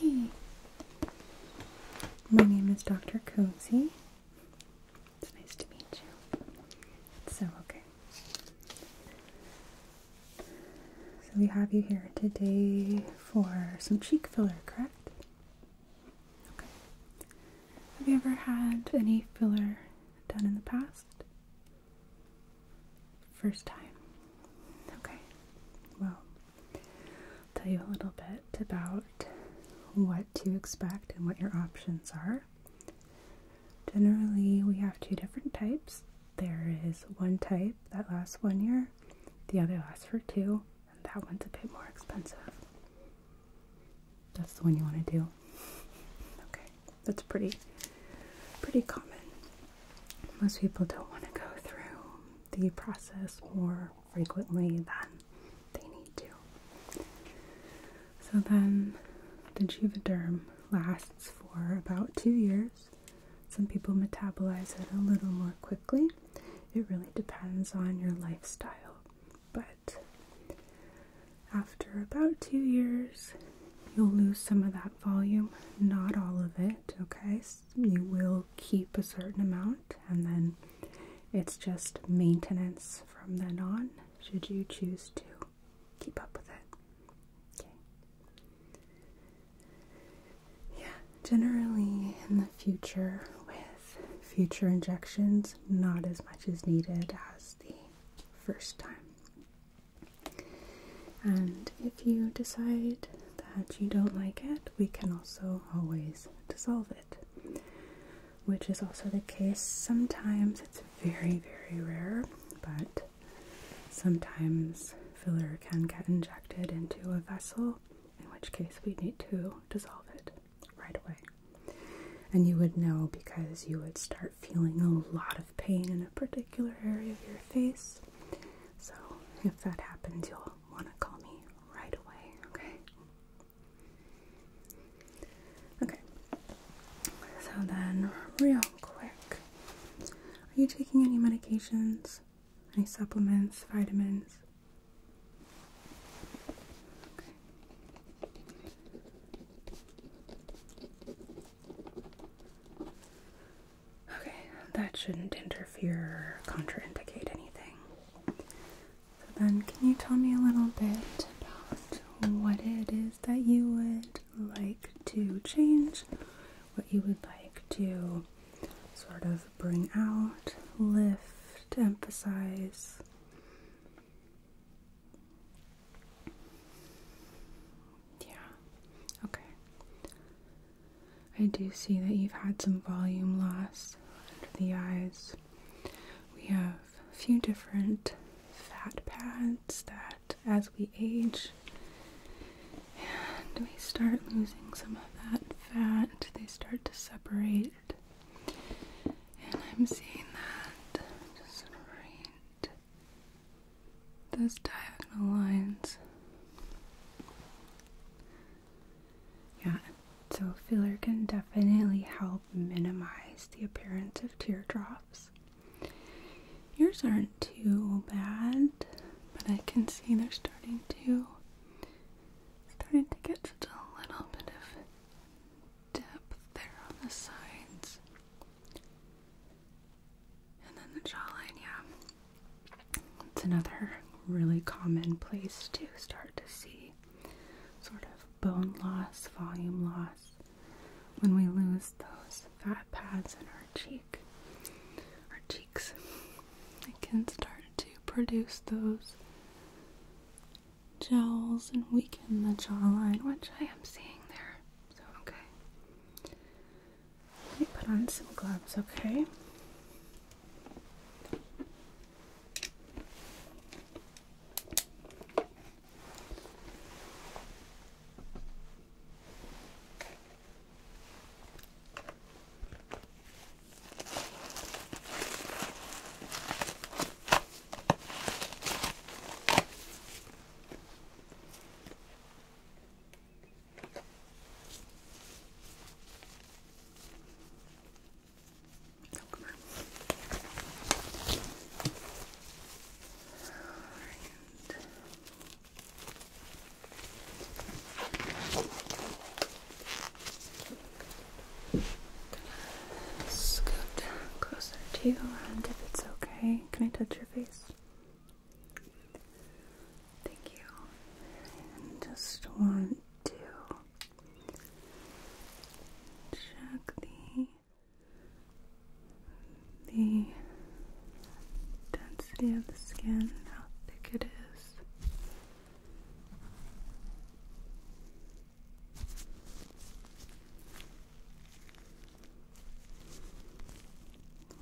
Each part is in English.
Hey, my name is Dr. Cozy. It's nice to meet you. So, okay. So we have you here today for some cheek filler, correct? Okay. Have you ever had any filler done in the past? First time. Okay. Well, tell you a little bit about what to expect and what your options are. Generally, we have two different types. There is one type that lasts one year, the other lasts for two, and that one's a bit more expensive. That's the one you want to do. Okay, that's pretty, pretty common. Most people don't want to go through the process more frequently than they need to. So then the Juvederm lasts for about two years. Some people metabolize it a little more quickly. It really depends on your lifestyle. But after about two years, you'll lose some of that volume, not all of it, okay? you will keep a certain amount, and then it's just maintenance from then on, should you choose to keep up with it. Okay. Yeah, generally in the future with future injections, not as much is needed as the first time. And if you decide that you don't like it, we can also always dissolve it, which is also the case. Sometimes it's very, very rare, but Sometimes filler can get injected into a vessel, in which case we need to dissolve it right away. And you would know because you would start feeling a lot of pain in a particular area of your face. So if that happens, you'll want to call me right away, okay? Okay. So then, real quick, are you taking any medications? Any supplements, vitamins? Okay. that shouldn't interfere contraindicate anything. So then, can you tell me a little bit about what it is that you would like to change, what you would like to sort of bring out, lift, emphasize. Yeah, okay. I do see that you've had some volume loss under the eyes. We have a few different fat pads that as we age and we start losing some of that fat, they start to separate. And I'm seeing that just right those diagonal lines. Yeah, so filler can definitely help minimize the appearance of teardrops. Yours aren't too bad, but I can see they're starting to starting to get a little bit of depth there on the sides. And then the jawline, yeah. It's another really common place to start to see sort of bone loss, volume loss when we lose those fat pads in our cheek, our cheeks, it can start to produce those gels and weaken the jawline, which I am seeing there. So, okay. Let me put on some gloves, okay? Oh, come on. All right i closer to you, and if it's okay, can I touch your face? Thank you. just want to check the the density of the skin, how thick it is.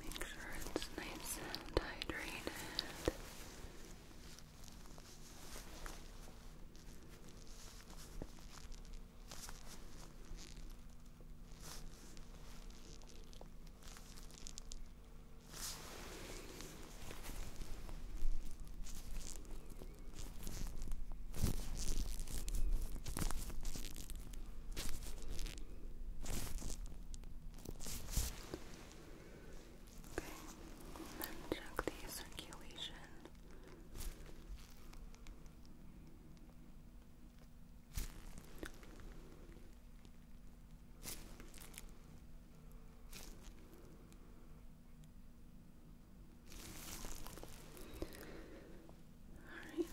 Make sure it's nice and hydrated. Okay, then check the circulation. All right.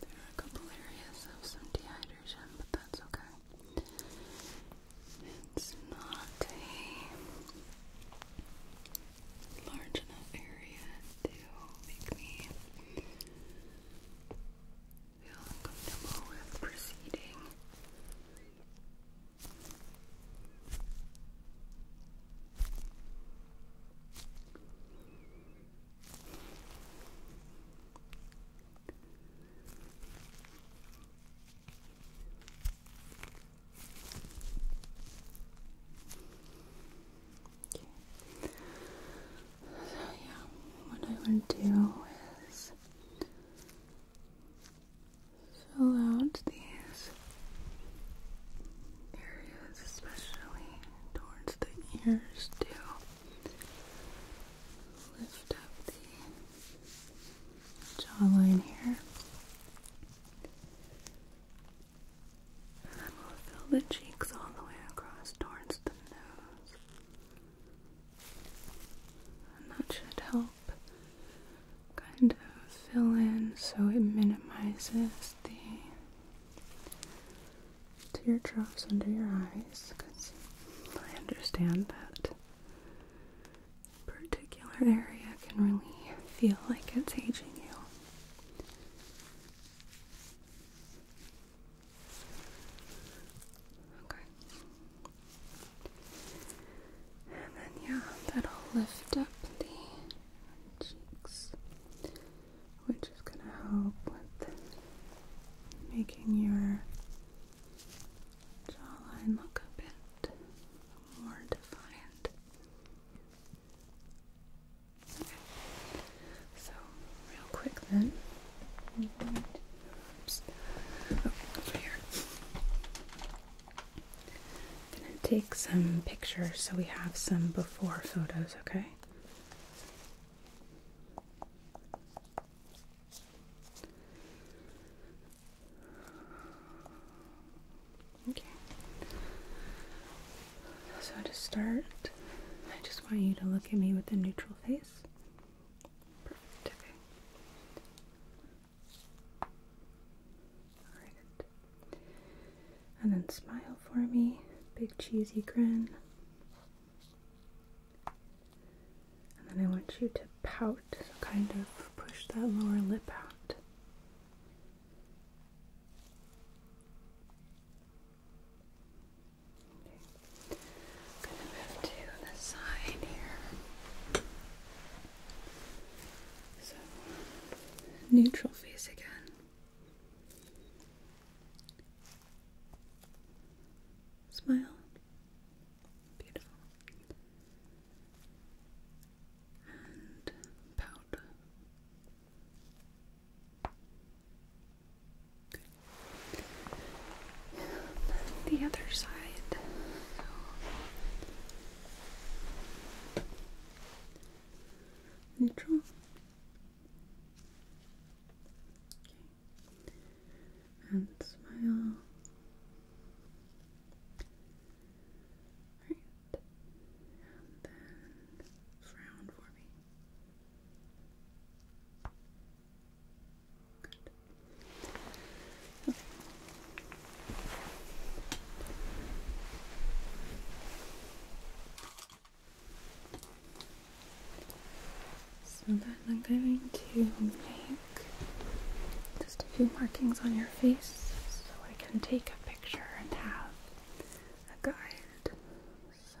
There are a couple areas of some dehydration confusion, but that's okay. It's not a large enough area to make me feel uncomfortable with proceeding. So yeah, what I want to do is fill out these areas, especially towards the ears too lift up the jawline here. And then we'll fill the cheeks all the way across towards the nose. And that should help kind of fill in so it minimizes the tear drops under your eyes because I understand that particular area can really feel like it's aging you. Okay. And then, yeah, that'll lift up the cheeks, which is going to help with making your jawline look a bit more defiant. Okay. So, real quick then. Oops. Oh, over here. I'm gonna take some pictures so we have some before photos, okay? Okay. So to start, I just want you to look at me with a neutral face. Perfect. Okay. All right. And then smile for me. Big cheesy grin. And then I want you to pout, so kind of push that lower lip out. Okay. i gonna move to the side here. So neutral face again. Smile. Beautiful. And powder. the other side. neutral. Okay and smile. Right. And then frown for me. Good. So then I'm going to make just a few markings on your face so I can take a picture and have a guide. So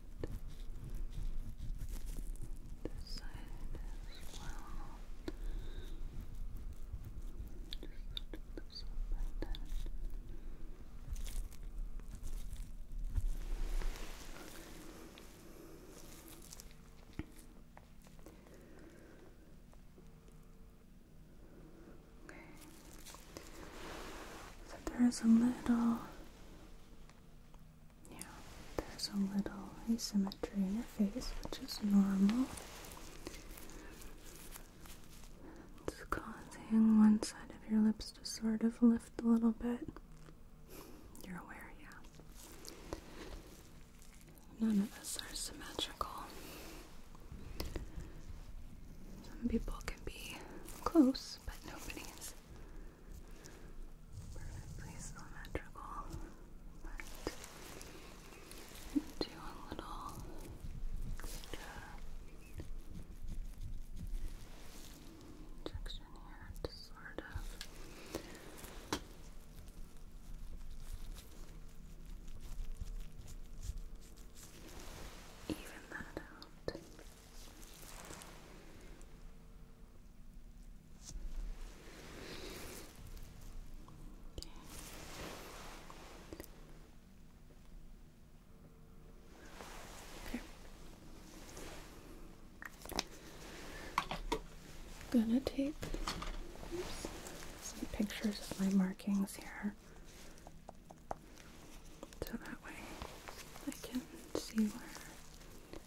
this side as well. Just lift this up Okay. So there is a little yeah, there's a little asymmetry in your face, which is normal. It's causing one side of your lips to sort of lift a little bit. You're aware, yeah. None of us are symmetrical. Some people can be close, but nobody is perfectly symmetrical, but do a little injection here to sort of. Even that out. I'm gonna take some pictures of my markings here so that way I can see where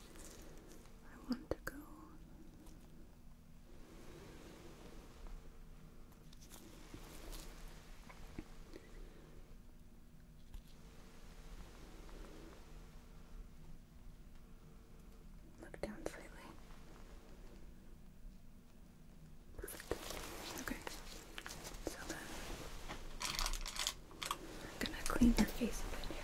I want to go. Look down slightly. Perfect. Okay. So then I'm gonna clean your face a bit here.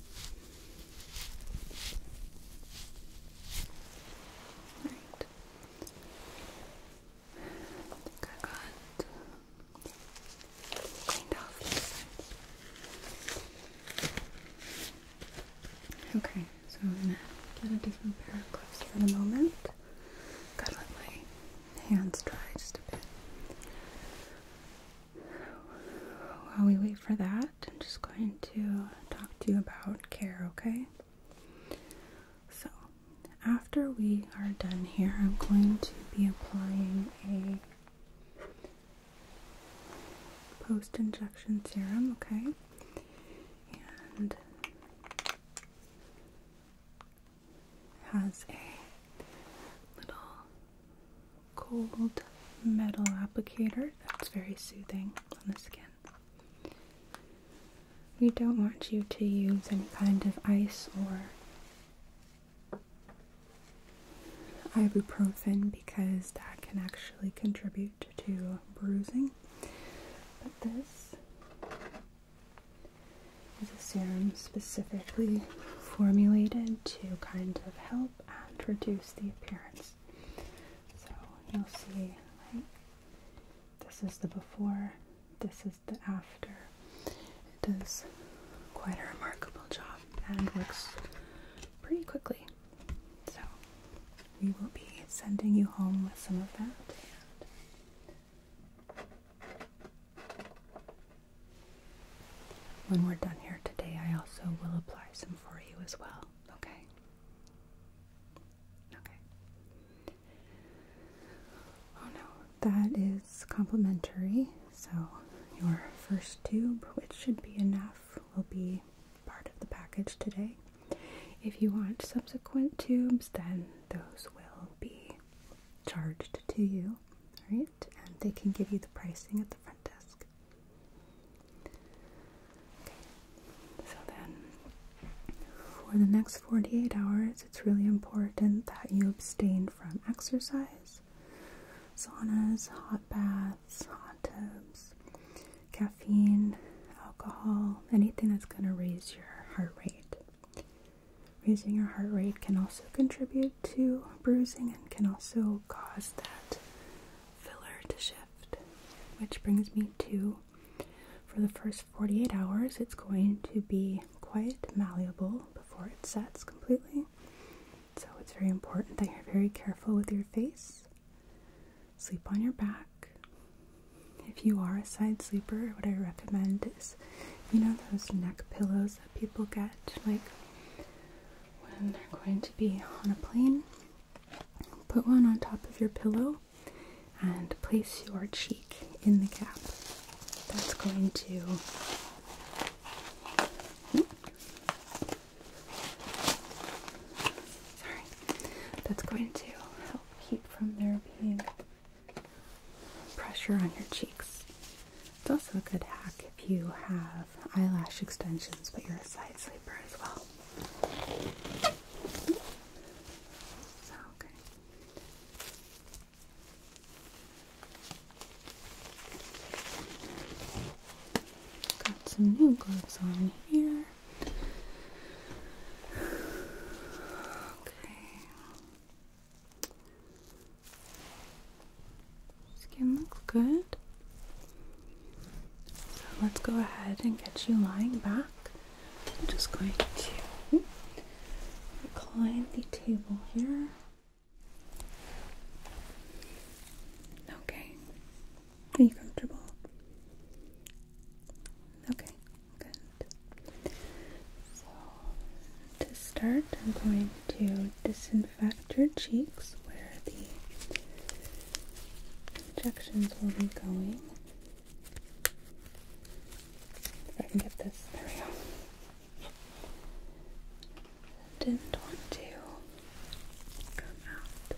I think I got cleaned off Okay, so I'm gonna get a different pair of gloves for the moment. Gotta let my hands dry just a bit. While we wait for that, I'm just going to talk to you about care, okay? So, after we are done here, I'm going to be applying a post injection serum, okay? And has a little cold metal applicator that's very soothing on the skin. We don't want you to use any kind of ice or ibuprofen because that can actually contribute to bruising. But this is a serum specifically formulated to kind of help and reduce the appearance. So you'll see, This is the before, this is the after. It does quite a remarkable job and works pretty quickly. So we will be sending you home with some of that. When we're done here today, I also will apply some for you as well, okay? Okay. Oh no, that is complimentary. So, your first tube, which should be enough, will be part of the package today. If you want subsequent tubes, then those will be charged to you, right? And they can give you the pricing at the front desk. Okay. So then, for the next 48 hours, it's really important that you abstain from exercise, saunas, hot baths, hot tubs, caffeine, alcohol, anything that's going to raise your heart rate. Raising your heart rate can also contribute to bruising and can also cause that filler to shift. Which brings me to for the first 48 hours, it's going to be quite malleable before it sets completely. So it's very important that you're very careful with your face. Sleep on your back. If you are a side sleeper, what I recommend is you know those neck pillows people get, like when they're going to be on a plane. Put one on top of your pillow and place your cheek in the gap. That's going to Sorry. That's going to help keep from there being pressure on your cheeks. It's also a good hack if you have eyelash extensions, but you're a side sleeper as well. okay. Got some new gloves on here. Okay. Skin looks good. So let's go ahead and get you lying back. I'm just going to recline the table here. Okay. Are you comfortable? Okay, good. To start, I'm going to disinfect your cheeks where the injections will be going. If I can get this, there we go. Didn't want to come out.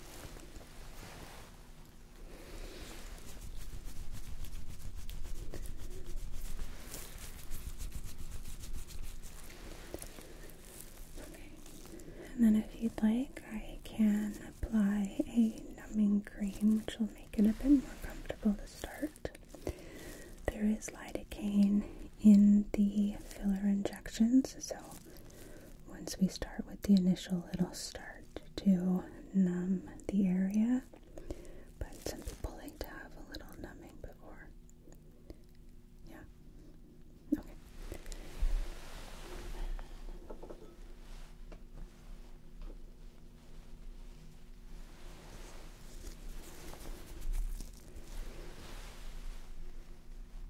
And then, if you'd like, I can apply a numbing cream, which will make it a bit more comfortable to start. There is lidocaine in the filler injections, so once we start with the initial, it'll start to numb the area, but some people like to have a little numbing before. Yeah. Okay.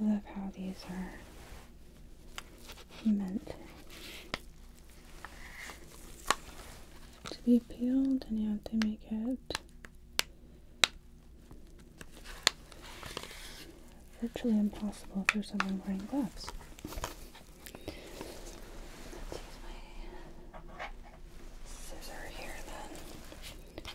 I love how these are meant to be peeled, and yet they make it Virtually impossible for someone wearing gloves. Let's use my scissor here then.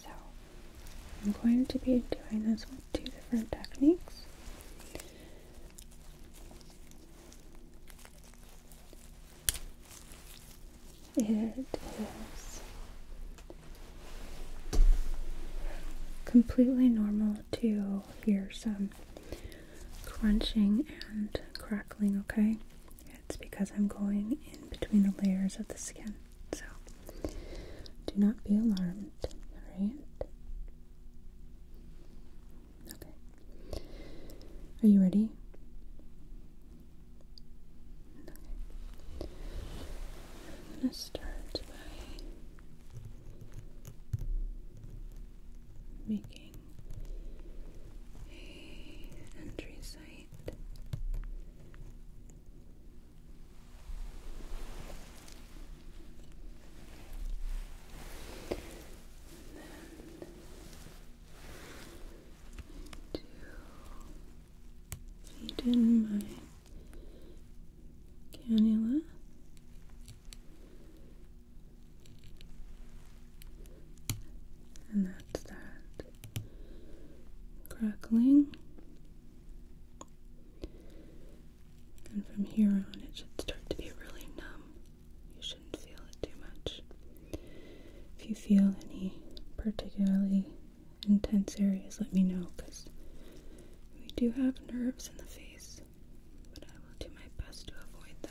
So, I'm going to be doing this with two different techniques. It is completely normal to hear some crunching and crackling, okay? It's because I'm going in between the layers of the skin. So do not be alarmed, alright? Okay. Are you ready? I'm going to start by making a entry site. And then to feed in my cannula. And that's that crackling. And from here on, it should start to be really numb. You shouldn't feel it too much. If you feel any particularly intense areas, let me know because we do have nerves in the face, but I will do my best to avoid them.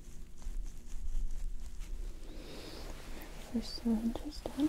You're so interesting.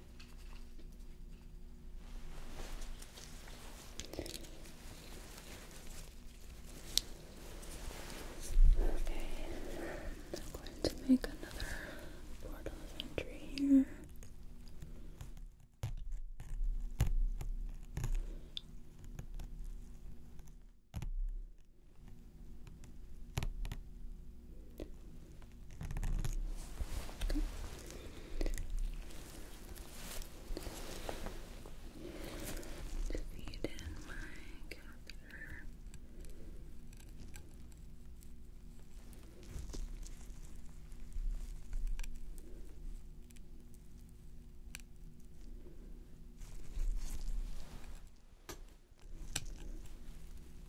Okay, I'm going to make another portal entry here. Okay. Feed in my catheter.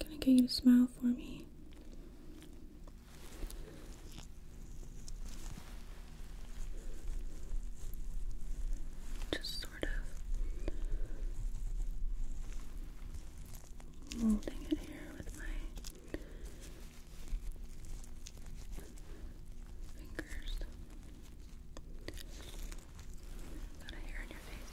Can i get you to smile for me. Just sort of molding it here with my fingers. Got a hair in your face.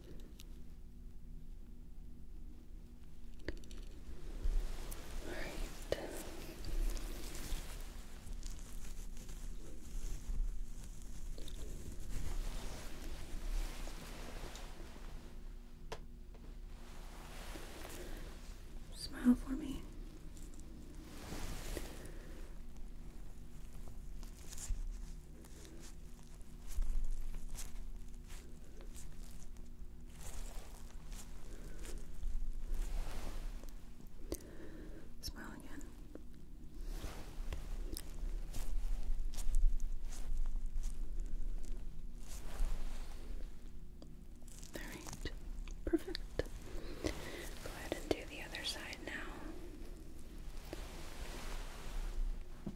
All right. Smile for me. Smile again. All right, perfect. Go ahead and do the other side now.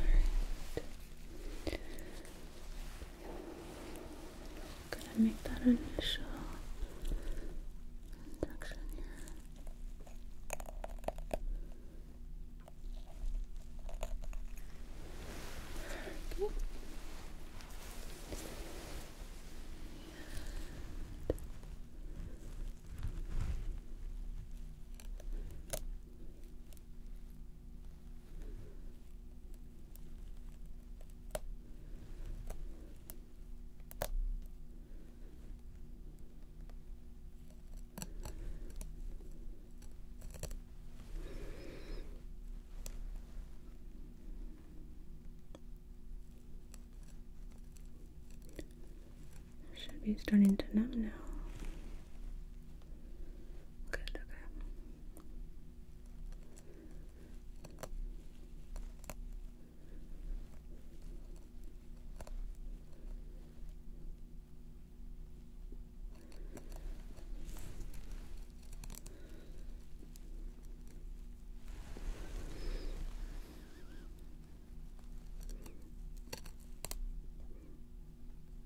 Alright. gonna make that initial induction here. Okay. And should be starting to numb now. Good, okay. Okay.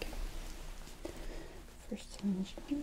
Okay. First dimension. And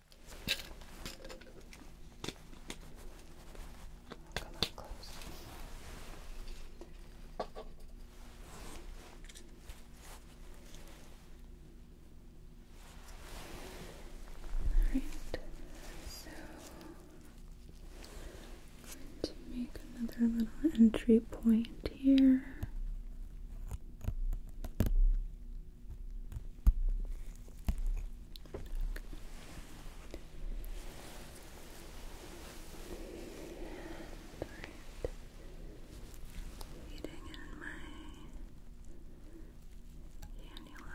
Alright, so I'm going to make another little entry point here. Eating in my cannula.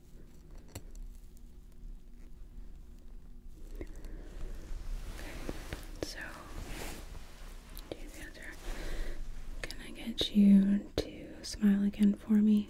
Okay, so these answer. Can I get you to smile again for me?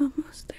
Almost there.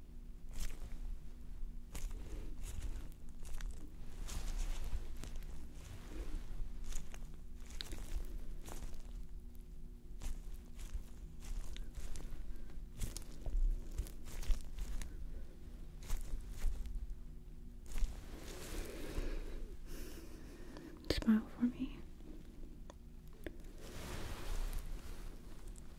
Smile for me.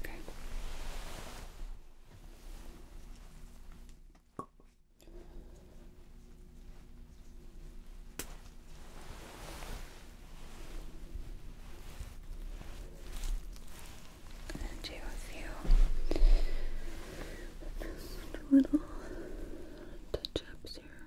Okay. i do a few little touch ups here.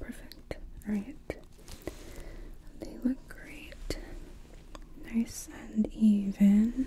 Perfect. All right. They look great. Nice and even.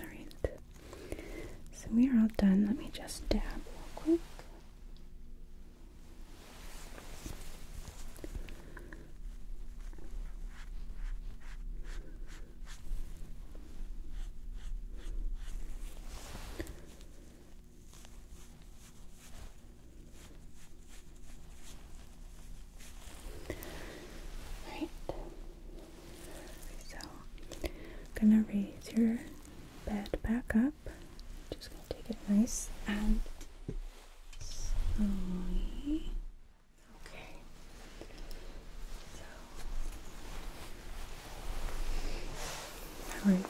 Alright, so we are all done. Let me just dab real quick. Right. So, I'm gonna raise your bed back up. Just gonna take it nice and slowly. Okay. So, how are you feeling?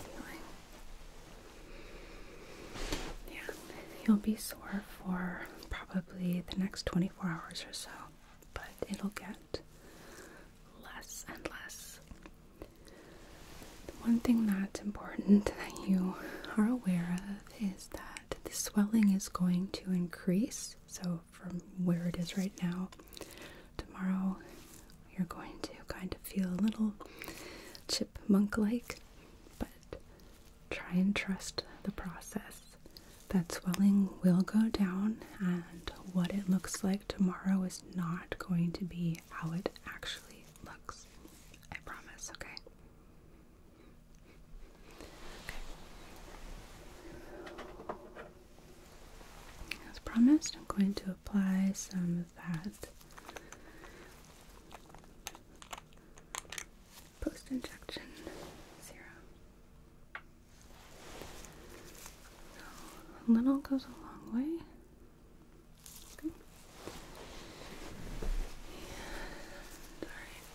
Yeah, you'll be sore for probably the next 24 hours or so, but it'll get less and less. The one thing that's important that you are aware of is that the swelling is going to increase. So, from where it is right now, tomorrow you're going to kind of feel a little chipmunk like, but Try and trust the process. That swelling will go down, and what it looks like tomorrow is not going to be how it actually looks. I promise, okay? Okay. As promised, I'm going to apply some of that Post injection serum. So a little goes a long way. Okay. And, all right.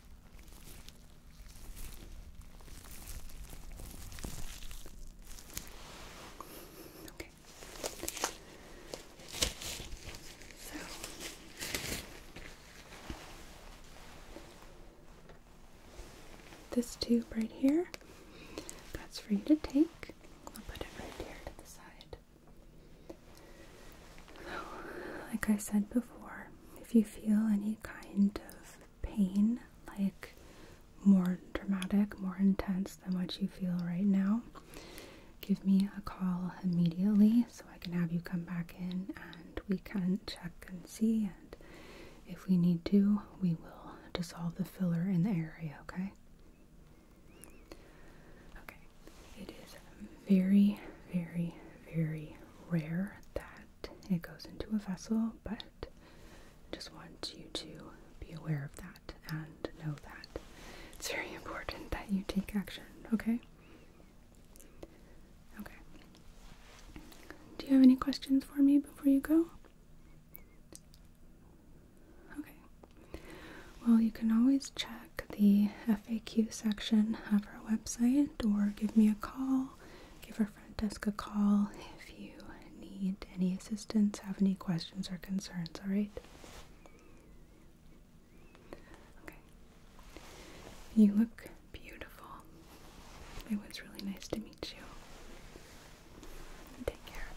this tube right here, that's for you to take. I'll put it right here to the side. So, like I said before, if you feel any kind of pain, like more dramatic, more intense than what you feel right now, give me a call immediately so I can have you come back in and we can check and see. And if we need to, we will dissolve the filler in the area, okay? Okay, it is very, very, very rare that it goes into a vessel, but just want you to be aware of that and know that it's very important that you take action, okay? Okay. Do you have any questions for me before you go? Okay. Well, you can always check the FAQ section of our website or give me a call Give our front desk a call if you need any assistance, have any questions or concerns, alright? Okay. You look beautiful. It was really nice to meet you. Take care.